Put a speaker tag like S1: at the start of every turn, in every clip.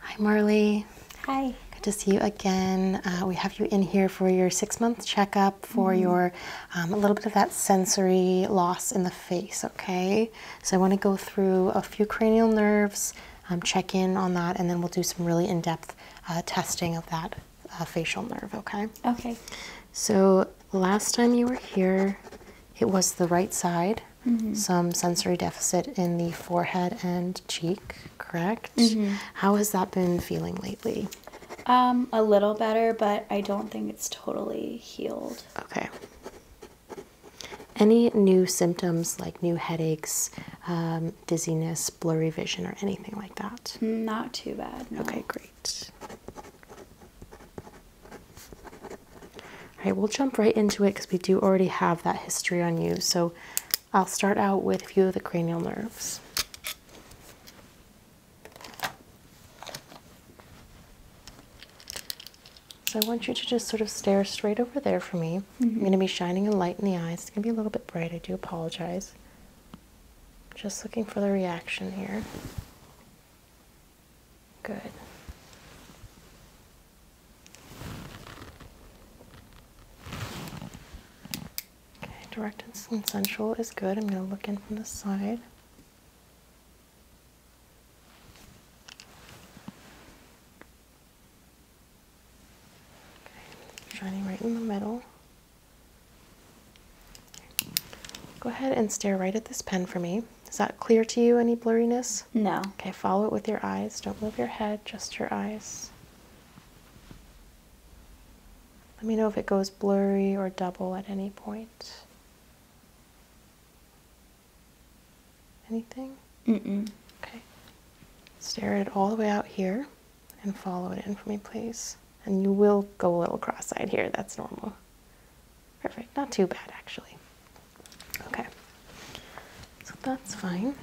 S1: Hi, Marley. Hi. Good to see you again. Uh, we have you in here for your six month checkup for mm-hmm. your, um, a little bit of that sensory loss in the face, okay? So I want to go through a few cranial nerves, um, check in on that, and then we'll do some really in depth uh, testing of that uh, facial nerve, okay? Okay. So last time you were here, it was the right side,
S2: mm-hmm. some
S1: sensory deficit in the forehead and cheek, correct? Mm-hmm. How has that been feeling lately?
S2: Um, a little better, but I don't think it's totally healed.
S1: Okay. Any new symptoms like new headaches, um, dizziness, blurry vision, or anything like that?
S2: Not too bad. Okay, great.
S1: All right, we'll jump right into it because we do already have that history on you. So I'll start out with a few of the cranial nerves. So I want you to just sort of stare straight over there for me. I'm mm-hmm. going to be shining a light in the eyes. It's going to be a little bit bright. I do apologize. Just looking for the reaction here. Good. Okay, direct and sensual is good. I'm going to look in from the side. Okay, shining right in the middle. Go ahead and stare right at this pen for me. Is that clear to you? Any blurriness? No. Okay, follow it with your eyes. Don't move your head, just your eyes. Let me know if it goes blurry or double at any point. Anything? Mm-mm. Okay. Stare it all the way out here and follow it in for me, please. And you will go a little cross-eyed here. That's normal. Perfect, not too bad actually. Okay, so that's fine.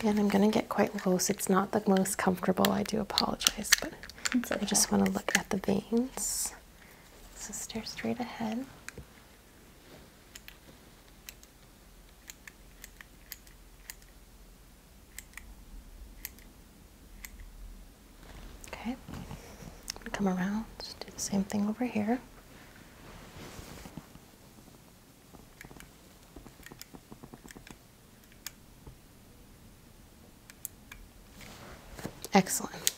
S1: Again, I'm gonna get quite close. It's not the most comfortable, I do apologize, but I just wanna look at the veins. So stare straight ahead. Okay, come around, do the same thing over here. Excellent.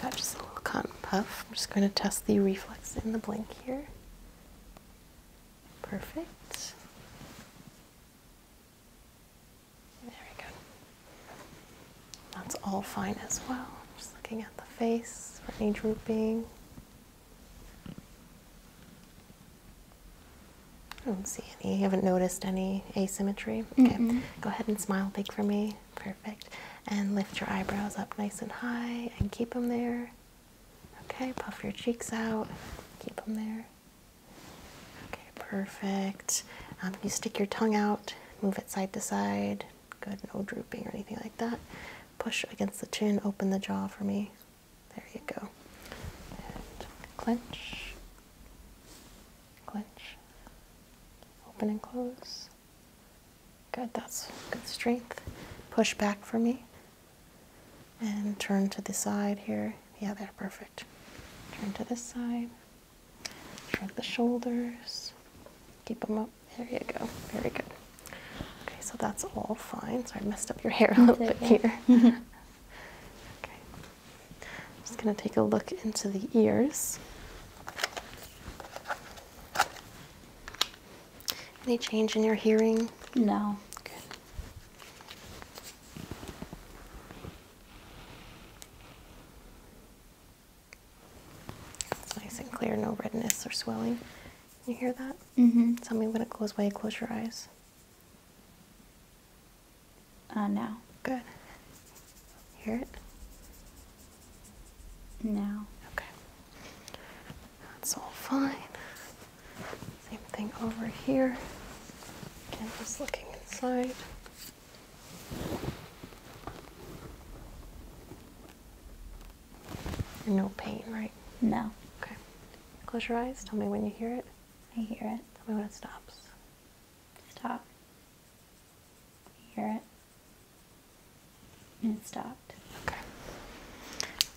S1: Got just a little cotton puff. I'm just going to test the reflex in the blink here. Perfect. There we go. That's all fine as well. Just looking at the face for any drooping. I don't see any. You haven't noticed any asymmetry? Okay. Go ahead and smile big for me. Perfect. And lift your eyebrows up nice and high and keep them there. Okay. Puff your cheeks out. Keep them there. Okay. Perfect. Um, you stick your tongue out. Move it side to side. Good. No drooping or anything like that. Push against the chin. Open the jaw for me. There you go. And clench, clench, open and close. Good, that's good strength. Push back for me. And turn to the side here. Yeah, there, perfect. Turn to this side. Shrug the shoulders. Keep them up. There you go. Very good. Okay, so that's all fine. So I messed up your hair a little bit here. Okay. I'm just going to take a look into the ears. Any change in your hearing?
S2: No. Good. nice and clear,
S1: no redness or swelling. You hear that? Mm-hmm. Tell me when it goes away, close your eyes.
S2: Uh, now. Good. Hear it? Now. Okay.
S1: That's all fine. Same thing over here. Again, just looking inside. no pain, right? No. Okay. Close your eyes. Tell me when you hear it. I hear it. Tell me when it stops. Stop. I hear it. And it stopped. Okay.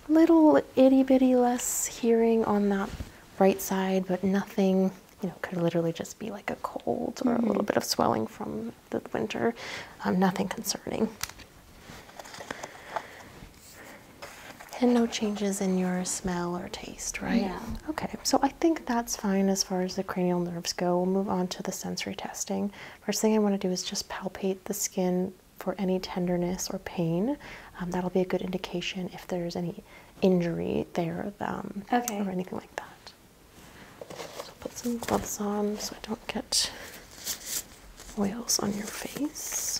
S1: Little itty bitty less hearing on that right side, but nothing, you know, could literally just be like a cold or a little mm-hmm. bit of swelling from the winter. Um, nothing concerning. And no changes in your smell or taste, right? No. Okay, so I think that's fine as far as the cranial nerves go. We'll move on to the sensory testing. First thing I want to do is just palpate the skin for any tenderness or pain. Um, that'll be a good indication if there's any injury there um, or anything like that. So put some gloves on so I don't get oils on your face.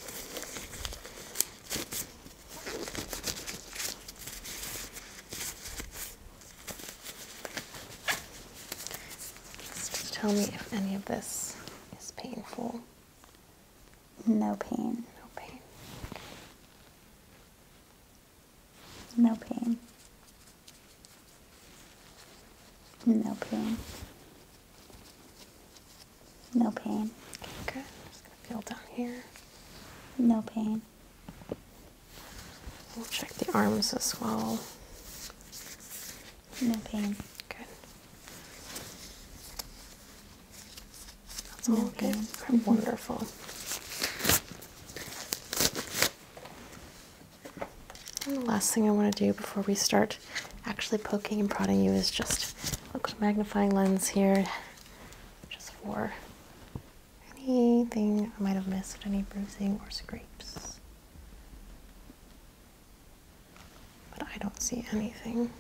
S1: Just tell me if any of this is painful.
S2: No pain. No pain. No pain. No pain. No pain.
S1: Okay, good. I'm just
S2: gonna feel down here. No pain. We'll check the arms as well. No pain. Good.
S1: That's all pain. good. Mm-hmm. Wonderful. the last thing I want to do before we start actually poking and prodding you is just Looks magnifying lens here, just for anything I might have missed, any bruising or scrapes. But I don't see anything.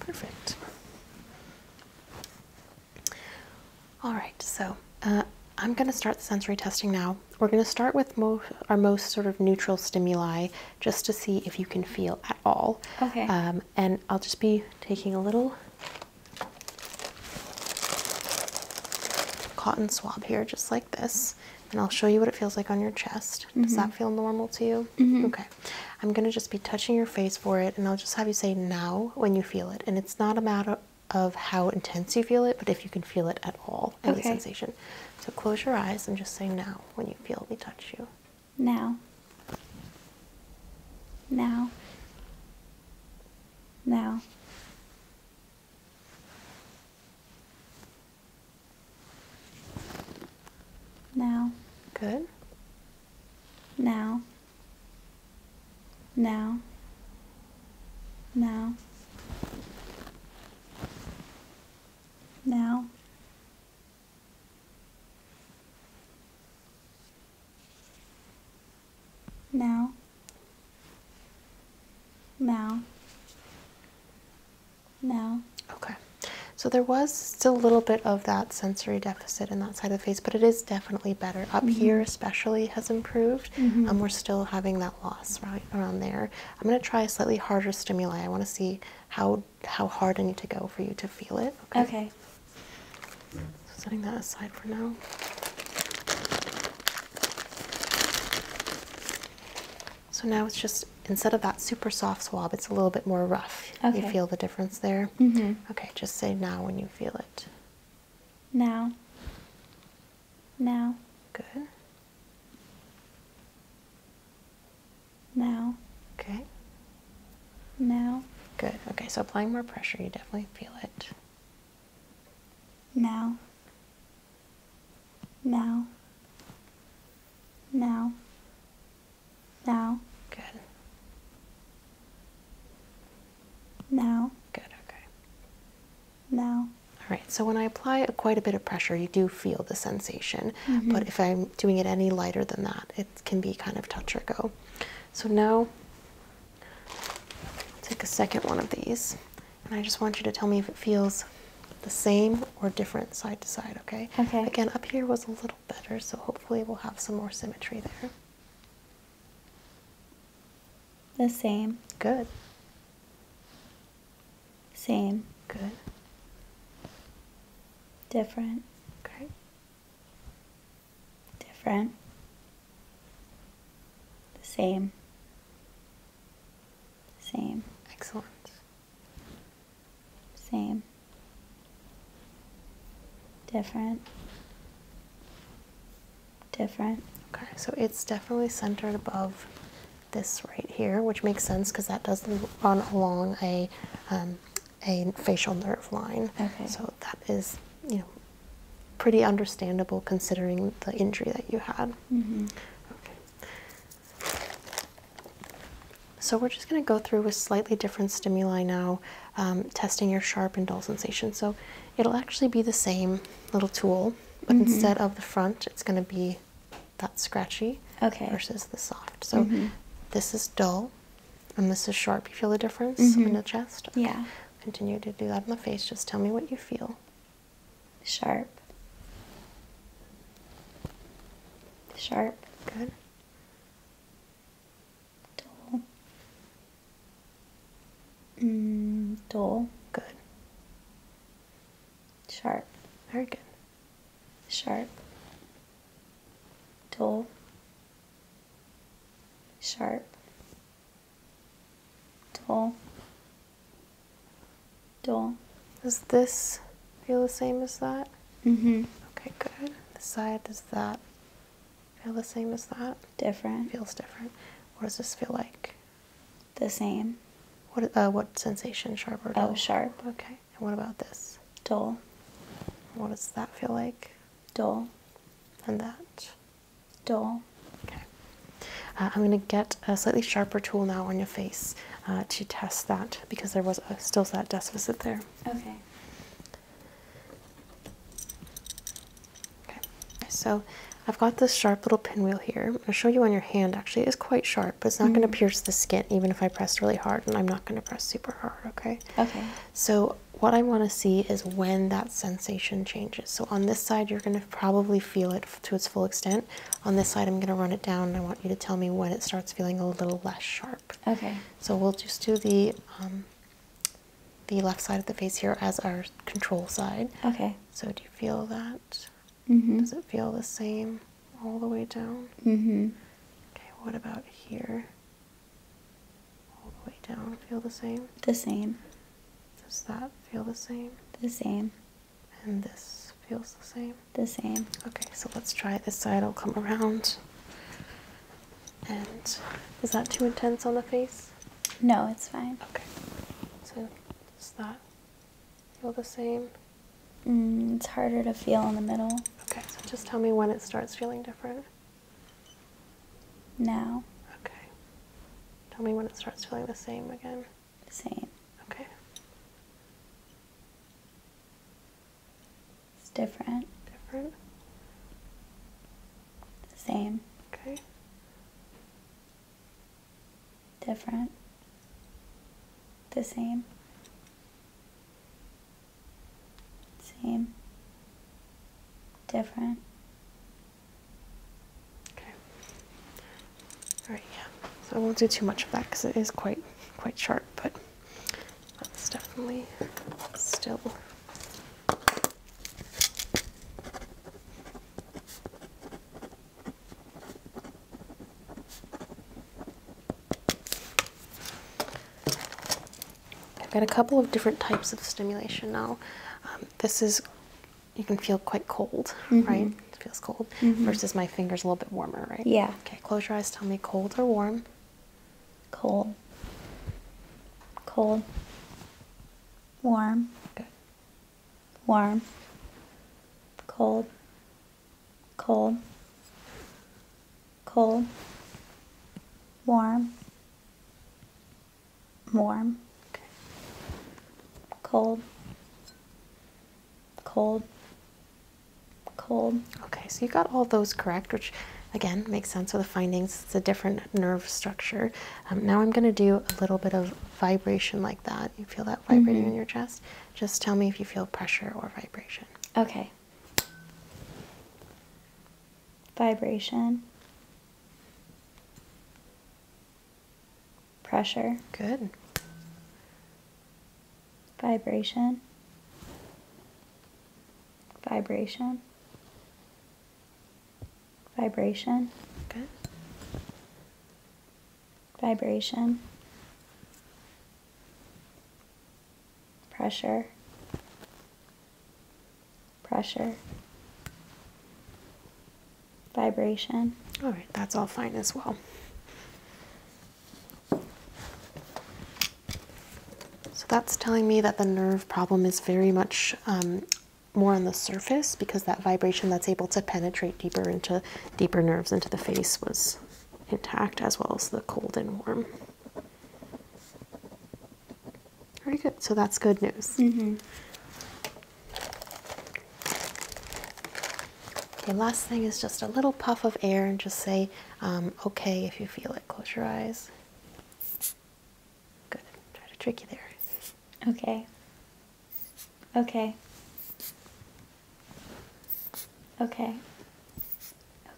S1: Perfect. All right, so uh, I'm going to start the sensory testing now. We're going to start with our most sort of neutral stimuli just to see if you can feel at all. Okay. Um, and I'll just be taking a little cotton swab here, just like this and I'll show you what it feels like on your chest. Does that mm-hmm. feel normal to you? Mm-hmm. Okay. I'm going to just be touching your face for it, and I'll just have you say now when you feel it. And it's not a matter of how intense you feel it, but if you can feel it at all, any okay. sensation. So close your eyes and just say now when you feel me touch you.
S2: Now. Now. Now. Now. Good. Now. Now. Now. Now. Now. Now.
S1: Now. Okay. So there was still a little bit of that sensory deficit in that side of the face, but it is definitely better. Up mm-hmm. here, especially, has improved. Mm-hmm. and we're still having that loss right around there. I'm going to try a slightly harder stimuli. I want to see how how hard I need to go for you to feel it. Okay. okay. So setting that aside for now. So now it's just instead of that super soft swab, it's a little bit more rough. You feel the difference there? Mm-hmm. Okay, just say now when you feel it.
S2: Now. Now. Good. Now. Okay. Now. Good. Okay, so applying more pressure, you definitely feel it. Now. Now. Now. Now. Good. Now. Good, okay. Now.
S1: All right, so when I apply quite a bit of pressure, you do feel the sensation. Mm-hmm. But if I'm doing it any lighter than that, it can be kind of touch go. So now, take a second one of these. And I just want you to tell me if it feels the same or different side to side, okay? Okay. Again, up here was a little better, so hopefully we'll have some more symmetry there.
S2: The same. Good. Same. Good. Different. Okay. Different. The same. Same. Excellent. Same. Different. Different. Okay, so it's definitely centered above
S1: this right here, which makes sense because that does run along a um, a facial nerve line. Okay. So that is, you know, pretty understandable considering the injury that you had. Mm -hmm. Okay. So we're just going to go through with slightly different stimuli now, um, testing your sharp and dull sensations. So it'll actually be the same little tool, but mm-hmm. instead of the front, it's going to be that scratchy versus the soft. So mm-hmm. this is dull, and this is sharp. You feel the difference in mm-hmm. the chest. Yeah. Continue to do that on the face. Just tell me what you feel
S2: sharp, sharp, good, dull, mm, dull, good, sharp, very good, sharp, dull, sharp, dull,
S1: dull. Does this feel the same as that? Mm-hmm. Okay, good. This side, does that feel the same as that? Different. Feels different. What does this feel like? The same. What uh, what sensation, sharp or oh, dull? Oh, sharp. Okay. And what about this? Dull. What does that feel like? Dull. And that? Dull. Okay. Uh, I'm going to get a slightly sharper tool now on your face uh, to test that because there was a, still that deficit there. Okay. Okay. So I've got this sharp little pinwheel here. I'm going to show you on your hand actually. It is quite sharp, but it's not going to mm-hmm. pierce the skin even if I press really hard, and I'm not going to press super hard, okay? Okay. So what I want to see is when that sensation changes. So on this side, you're going to probably feel it to its full extent. On this side, I'm going to run it down, I want you to tell me when it starts feeling a little less sharp. Okay. So we'll just do the um, the left side of the face here as our control side. Okay. So do you feel that? Mm-hmm. Does it feel the same all the way down? Mm-hmm. Okay. What about
S2: here? All the way down. Feel the same? The same. Does that feel the same? The same. And this feels the same? The
S1: same. Okay, so let's try this side. I'll come around. And is that too intense on the face?
S2: No, it's fine. Okay.
S1: So does that feel the same?
S2: Mm, it's harder to feel in the middle.
S1: Okay, so just tell me when it starts feeling different.
S2: Now. Okay.
S1: Tell me when it starts feeling the same again same. Okay.
S2: It's different. Different. Same. Okay. Different. The same. Same. Different. Okay. All right.
S1: Yeah. I won't do too much of that because it is quite quite sharp, but that's definitely still. I've got a couple of different types of stimulation now. Um, this is you can feel quite cold, mm-hmm. right? It feels cold mm-hmm. versus my fingers a little bit warmer, right? Yeah. Okay, close your eyes. Tell me cold or
S2: warm? Cold. Cold. Warm. Good. Warm. Cold. Cold. Cold. Warm. Warm. Okay. Cold cold,
S1: cold. Okay, so you got all those correct, which again makes sense for the findings. It's a different nerve structure. Um, now I'm going to do a little bit of vibration like that. You feel that vibrating in mm-hmm. your chest? Just tell me if you feel pressure or vibration.
S2: Okay. Vibration pressure. Good. Vibration. Vibration. Vibration. Good. Vibration. Pressure. Pressure vibration. All right, that's all fine as well. So
S1: that's telling me that the nerve problem is very much um, more on the surface because that vibration that's able to penetrate deeper into deeper nerves into the face was intact as well as the cold and warm. Very good. So that's good news. Mm-hmm. Okay, last thing is just a little puff of air and just say, um, okay, if you feel it. Close your eyes. Good. Try to trick you there. Okay.
S2: Okay. Okay.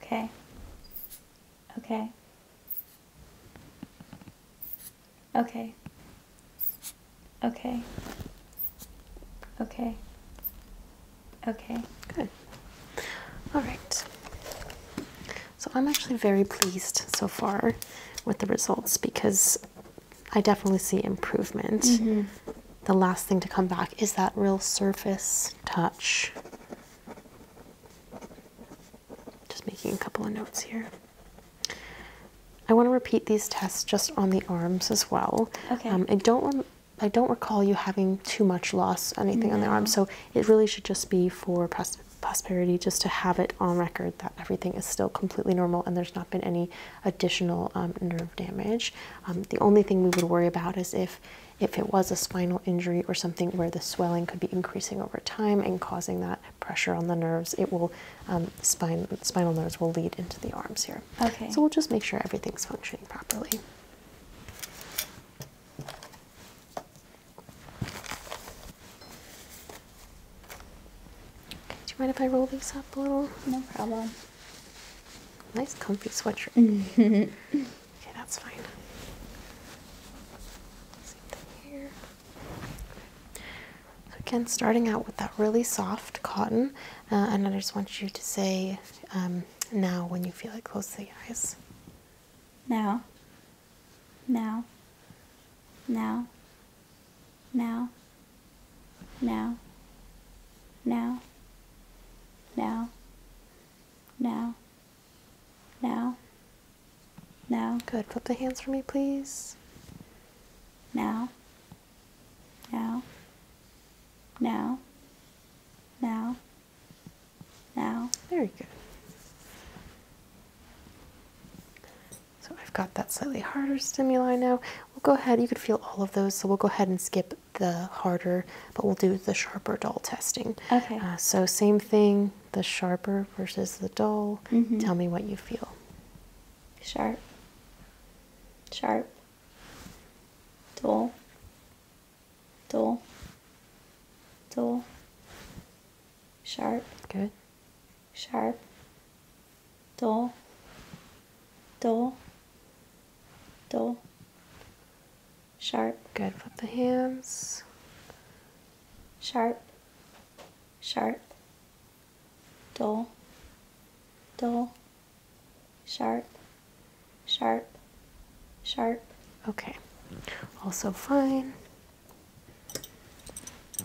S2: Okay. Okay. Okay. Okay. Okay. Okay. Good.
S1: All right. So I'm actually very pleased so far with the results because I definitely see improvement. Mm-hmm. The last thing to come back is that real surface touch. Just making a couple of notes here. I want to repeat these tests just on the arms as well. Okay. Um, I don't I don't recall you having too much loss anything on the arms. so it really should just be for prosperity, just to have it on record that everything is still completely normal and there's not been any additional um, nerve damage. Um, the only thing we would worry about is if if it was a spinal injury or something where the swelling could be increasing over time and causing that pressure on the nerves, it will um, spinal spinal nerves will lead into the arms here. Okay. So we'll just make sure everything's functioning properly. do you mind if I roll these up a little? No problem. Nice comfy sweatshirt. okay, that's fine. here. So again, starting out with that really soft cotton, uh, and I just want you to say um, now when you feel it close to the eyes.
S2: Now. Now. Now. Now. Now. Now. Now. Now. Now. Now. Good. Flip the hands for me, please. Now. Now. Now. Now. Now. Very good.
S1: So I've got that slightly harder stimuli now. We'll go ahead, you could feel all of those, so we'll go ahead and skip the harder, but we'll do the sharper dull testing. Okay. Uh, so same thing, the sharper versus the dull. Mm-hmm. Tell me what you feel. Sharp
S2: sharp, dull, dull, dull, sharp. Good. Sharp, dull, dull, dull, sharp. Good. Flip the hands. Sharp, sharp, dull, dull, sharp, sharp, sharp. Okay, also fine.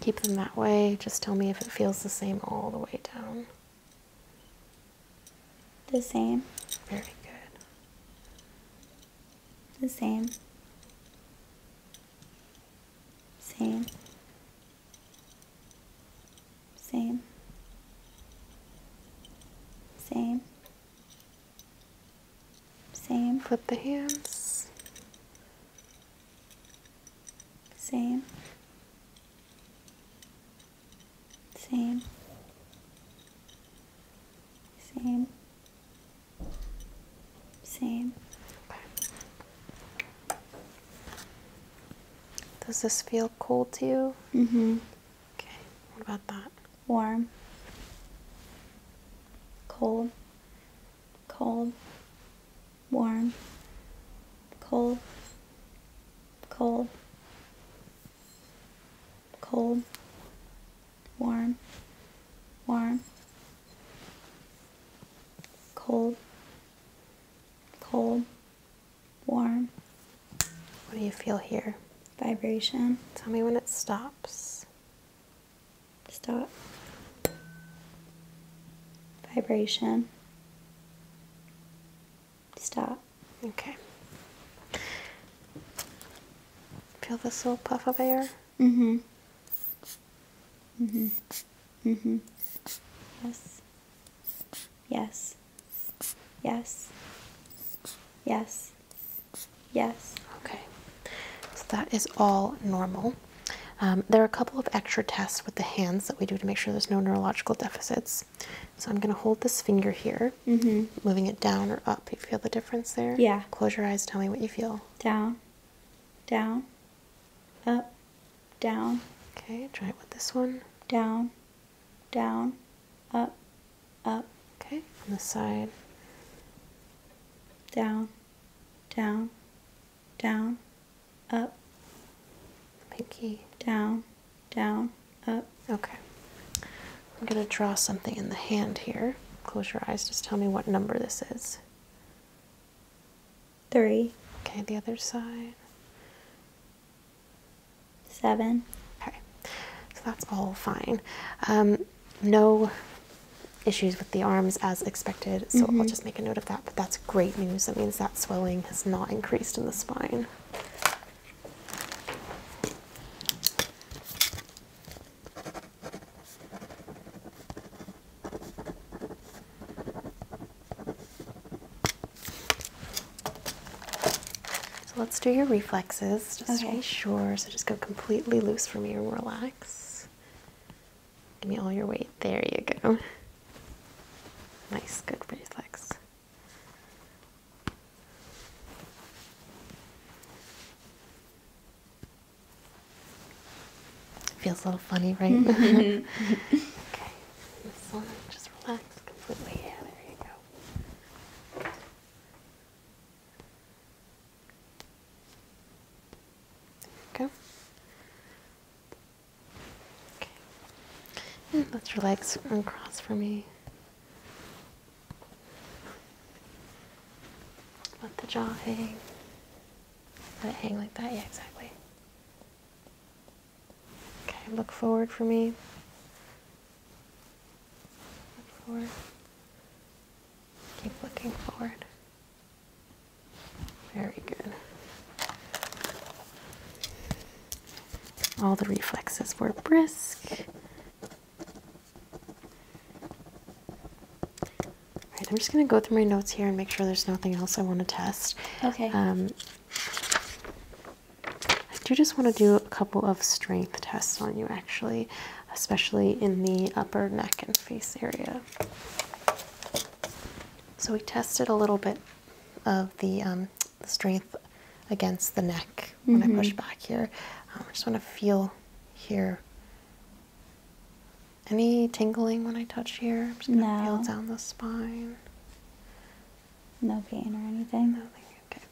S1: Keep them that way. Just tell me if it feels the same all the way down.
S2: The same. Very good. The same. Same. Same. Same. Same. Flip the hands. Same. Same. Same. Same.
S1: Does this feel cold to you?
S2: Mm hmm. Okay, what about that? Warm. Cold. Cold. Warm. Cold. Cold. Cold. Warm. Warm. Cold cold, warm. What do you feel here? Vibration. Tell me when it stops. Stop. Vibration. Stop. Okay.
S1: Feel this little puff of air?
S2: Mm-hmm. Mm-hmm. Mm-hmm. Yes. Yes. Yes. Yes.
S1: Yes. Okay. So that is all normal. Um, there are a couple of extra tests with the hands that we do to make sure there's no neurological deficits. So I'm going to hold this finger here, mm-hmm. moving it down or up. You feel the difference there? Yeah. Close your eyes. Tell me what you feel.
S2: Down. Down up, down. Okay, try it with this one. Down, down, up, up. Okay, on the side. Down, down, down, up. Pinky. Down,
S1: down, up. Okay. I'm going to draw something in the hand here. Close your eyes. Just tell me what number this is. Three. Okay, the other side. Seven. Okay, so that's all fine. Um, no issues with the arms as expected, so I'll mm-hmm. just make a note of that. But that's great news. That means that swelling has not increased in the spine. So let's do your reflexes just okay. to be sure. So just go completely loose from you and relax. Give me all your weight. There you go. Nice, good reflex. Feels a little funny, right? okay, this one, just relax completely. Yeah, there you go. There Okay. let your legs cross for me. Let the jaw hang. Let it hang like that. Yeah, exactly. Okay, look forward for me. Look forward. Keep looking forward. Very good. All the reflexes were brisk. All right, I'm just going to go through my notes here and make sure there's nothing else I want to test. Okay. Um, I do just want to do a couple of strength tests on you, actually, especially in the upper neck and face area. So we tested a little bit of the, um, strength against the neck when I mm-hmm. push back here. Um, I just want to feel here any tingling when I touch here? I'm just gonna no. feel down
S2: the spine. No pain or anything? Nothing, okay.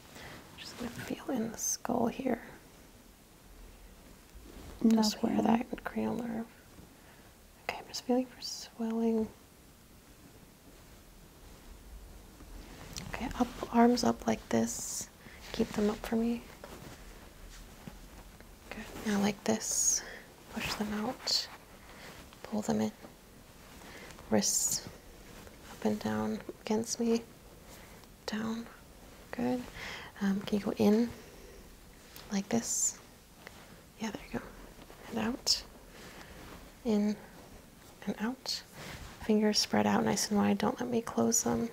S2: Just gonna feel in the skull here.
S1: No just where that cranial nerve. Okay, I'm just feeling for swelling. Okay, up, arms up like this. Keep them up for me. Good, now like this. Push them out pull them in. Wrists up and down against me. Down. Good. Um, can you go in like this? Yeah, there you go. And out. In and out. Fingers spread out nice and wide. Don't let me close them.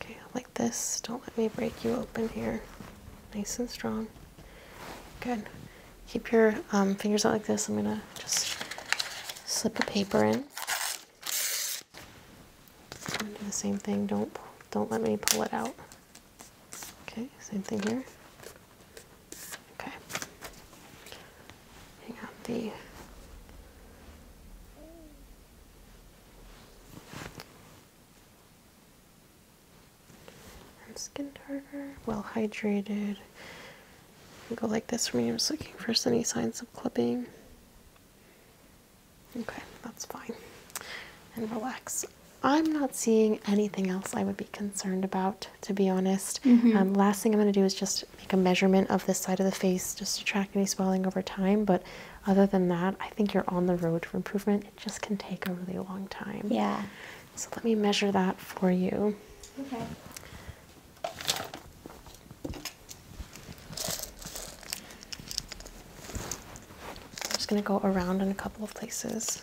S1: Okay, like this. Don't let me break you open here. Nice and strong. Good. Keep your um, fingers out like this. I'm gonna just slip a paper in. do the same thing. Don't don't let me pull it out. Okay, same thing here. Okay. Hang out the and skin darker, well hydrated. Go like this for me. I'm just looking for any signs of clipping. Okay, that's fine. And relax. I'm not seeing anything else I would be concerned about, to be honest. Mm-hmm. Um, last thing I'm going to do is just make a measurement of this side of the face just to track any swelling over time, but other than that, I think you're on the road for improvement. It just can take a really long time. Yeah. So let me measure that for you.
S2: Okay. I'm
S1: just going to go around in a couple of places.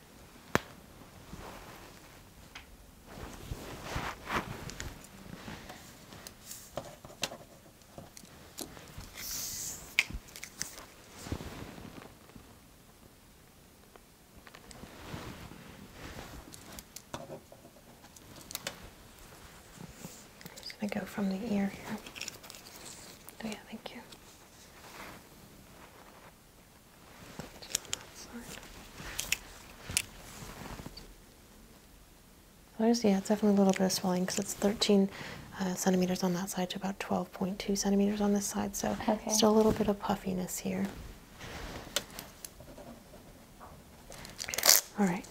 S1: I'm just going to go from the ear here. Oh, yeah, thank you. So there's, yeah, it's definitely a little bit of swelling because it's 13 uh, centimeters on that side to about 12.2 centimeters on this side. So still a little bit of puffiness here. All right.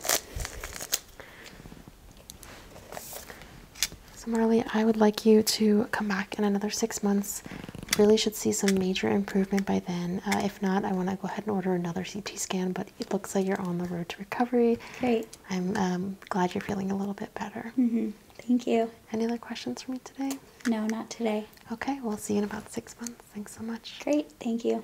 S1: So Marley, I would like you to come back in another six months really should see some major improvement by then. Uh, if not, I want to go ahead and order another CT scan, but it looks like you're on the road to recovery. Great. I'm um, glad you're feeling a little bit better. Mm-hmm. Thank you. Any other questions for me today?
S2: No, not today. Okay, we'll see you in about six months. Thanks so much. Great, thank you.